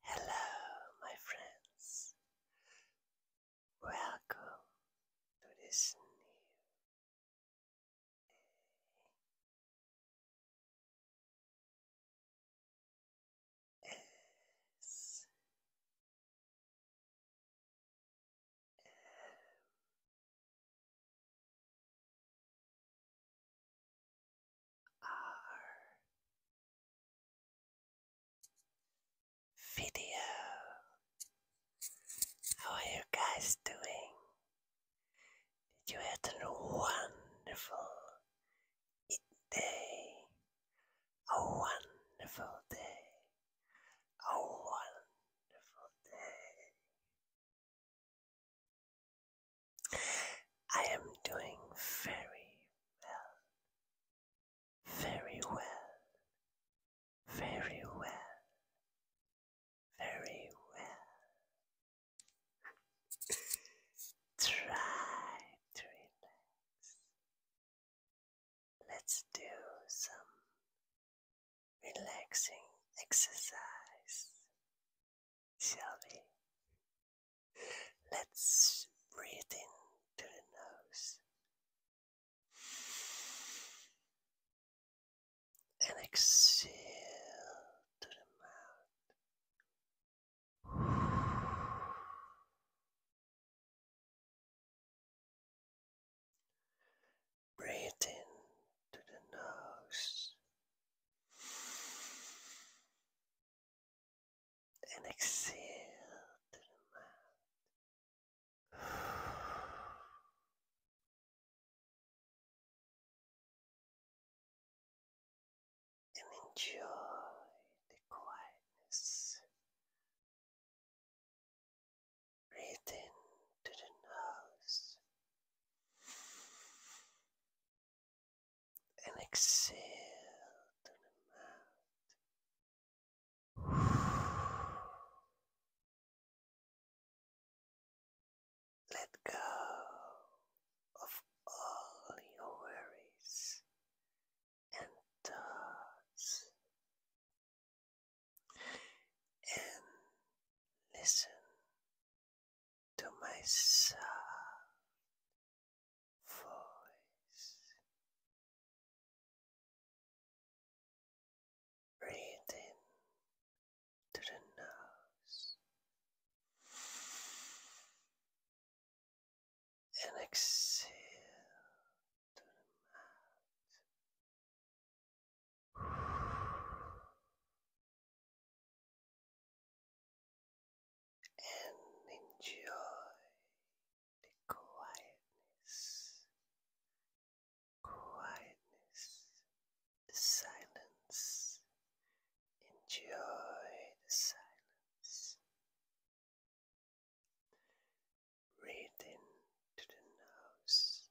Hello, my friends. Welcome to this new our video. How are you guys doing? Did you have a wonderful day? A wonderful day. A wonderful day. I am doing very well, very well, very well, very well. Try to relax. Let's do some relaxing exercise shall Let's breathe in through the nose and exhale to the mouth. Breathe in to the nose and exhale to the mouth. And enjoy the quietness. Breathe in to the nose and exhale through the mouth. Let go of all your worries and thoughts and listen to my soft voice, breathe in to the nose and exhale to the mouth and enjoy the quietness, quietness, silence, enjoy the silence. Breathe to the nose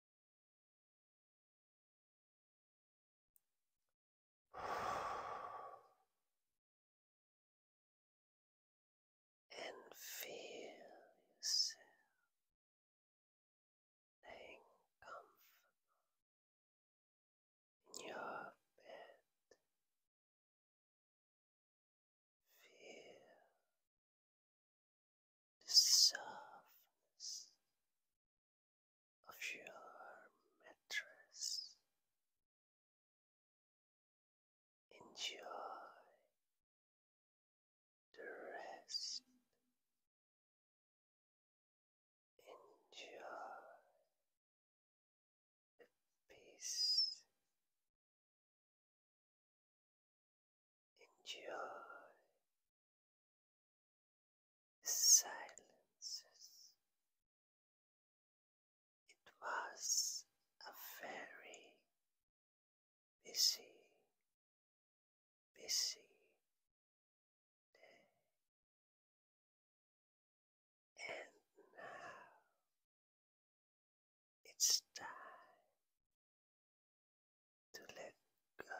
And feel yourself staying comfortable in your bed. Feel the surface of your mattress. Enjoy the rest. Enjoy the peace. Enjoy silences. It was a very busy, busy day. And now it's time to let go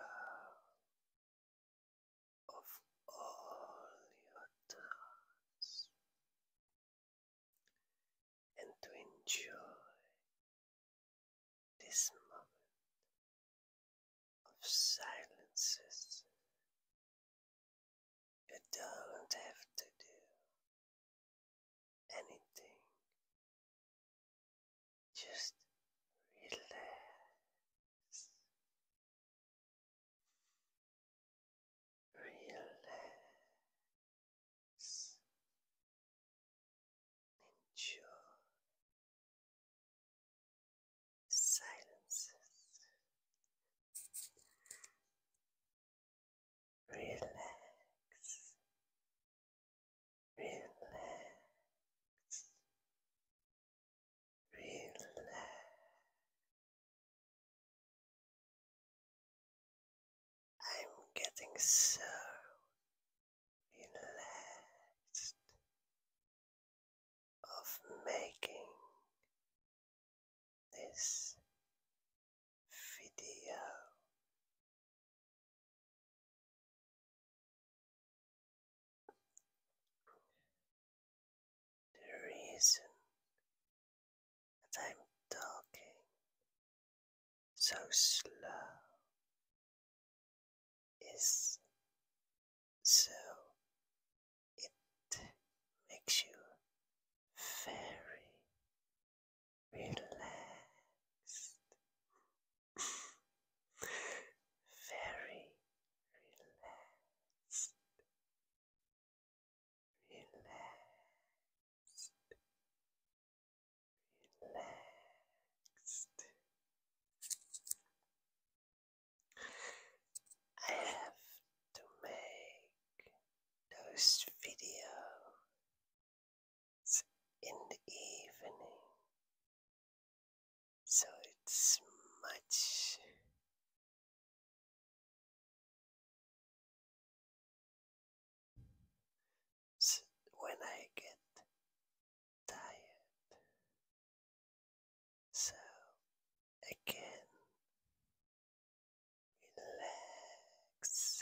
of all your doubts and to enjoy this moment of silences. You don't have to do anything Just relax. Relax. Enjoy. Silences. Relax. relax, relax. I'm getting so relaxed of making this video the reason that I'm talking so slow is so it makes you very relaxed very relaxed, relaxed, relaxed. I have to make those videos in the evening. So it's much when I get tired. So again, relax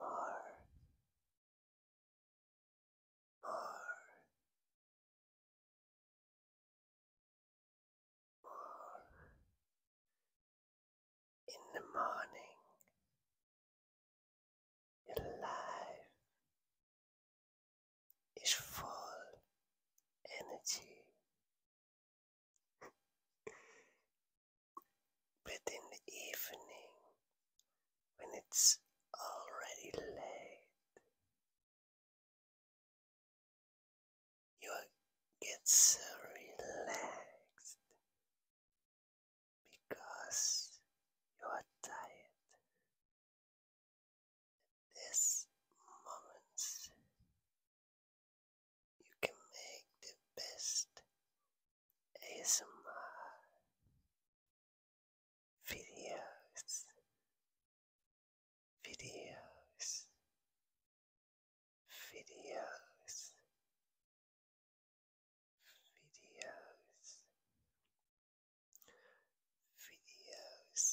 more in the morning, your life is full energy, but in the evening, when it's already late. You get so relaxed because you are tired. this moment, you can make the best ASMR videos, videos, videos, videos, videos.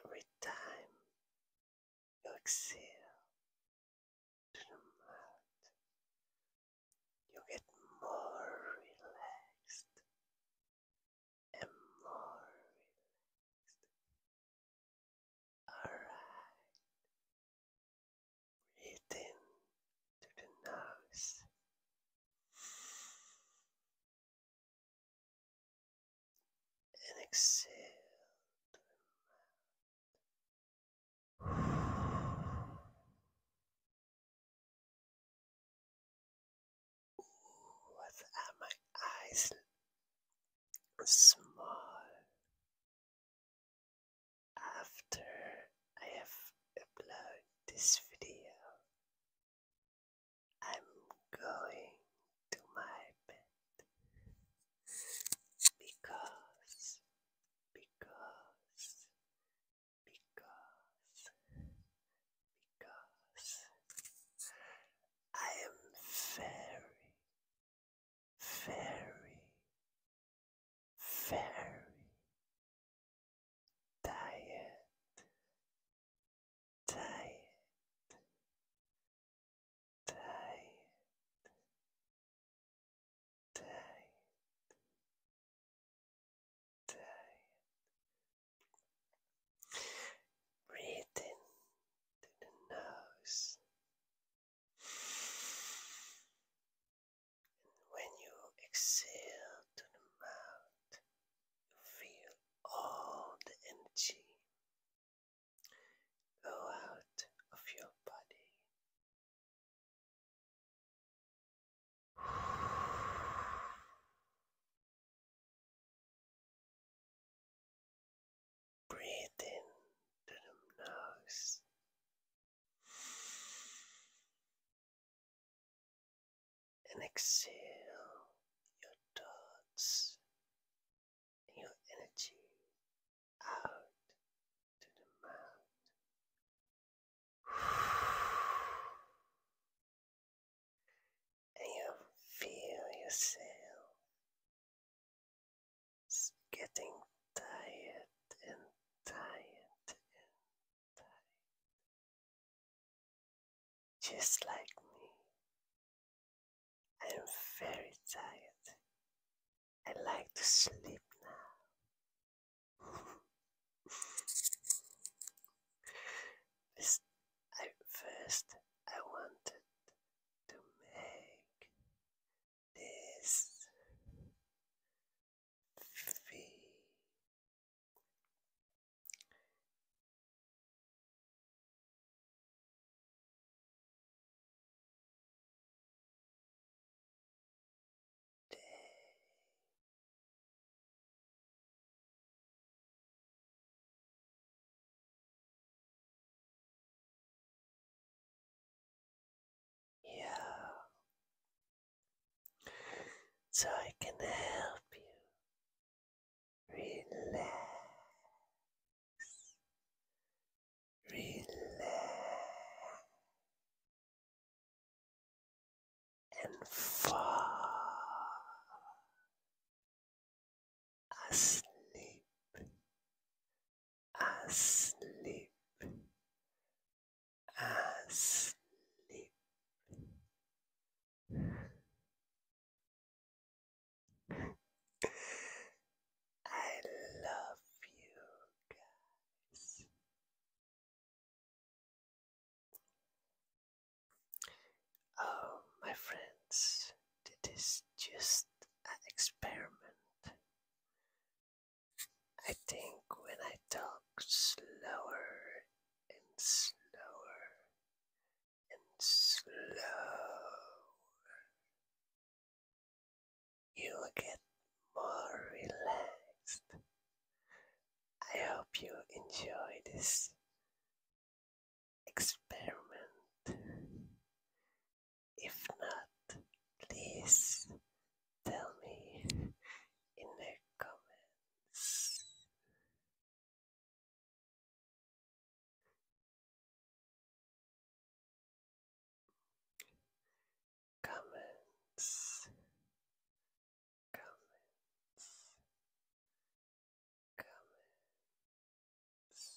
Every time you exhale to the mouth, you get more relaxed and more relaxed. Alright, breathe in to the nose and exhale what are my eyes after I have uploaded this video? I'm going to my bed because, because, because, because I am very, very, very, tired, tired, tired, tired, tired. Breathe in to the nose. And when you exhale to the mouth, Feel all the energy go out of your body. Breathe in through the nose and exhale your thoughts and your energy out to the mouth. And you feel yourself getting tired and tired and just like me. I'm very tired. I like to sleep now. I, first, I wanted to make this V D yeah so I can help you relax, relax, and fall asleep, asleep, asleep. I love you guys. Oh, my friends, it is just an experiment. I think when I talk slower and slower and slower. You will get more relaxed. I hope you enjoy this experiment. If not, please Tell me in the comments. Comments. Comments. Comments.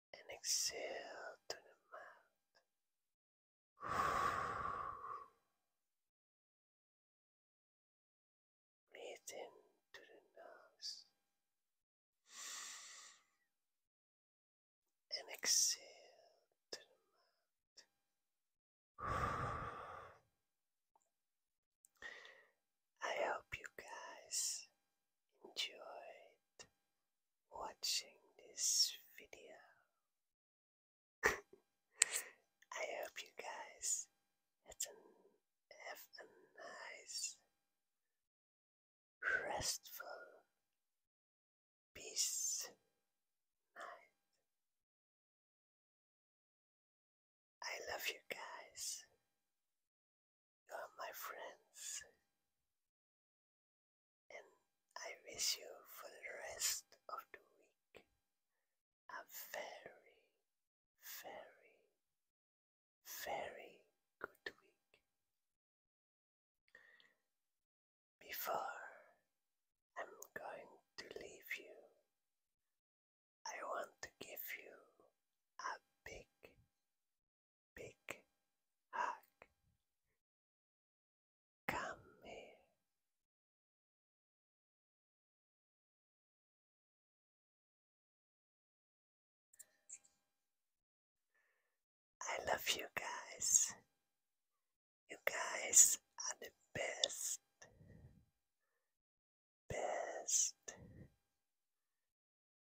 and exhale through the mouth. Breathe in through the nose and exhale through the mouth. I hope you guys enjoyed watching this video. I hope you guys have a nice, restful, peace night. I love you guys. You are my friends and I wish you for the rest of the week a very, very, very good week. Before I'm going to leave you, I want to give you a big, big hug. Come here. I love you guys. You guys are the best. Best.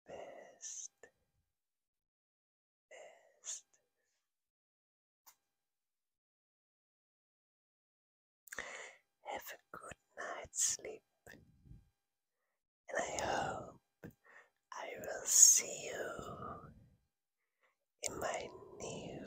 Best. Have a good night's sleep, and I hope I will see you in my new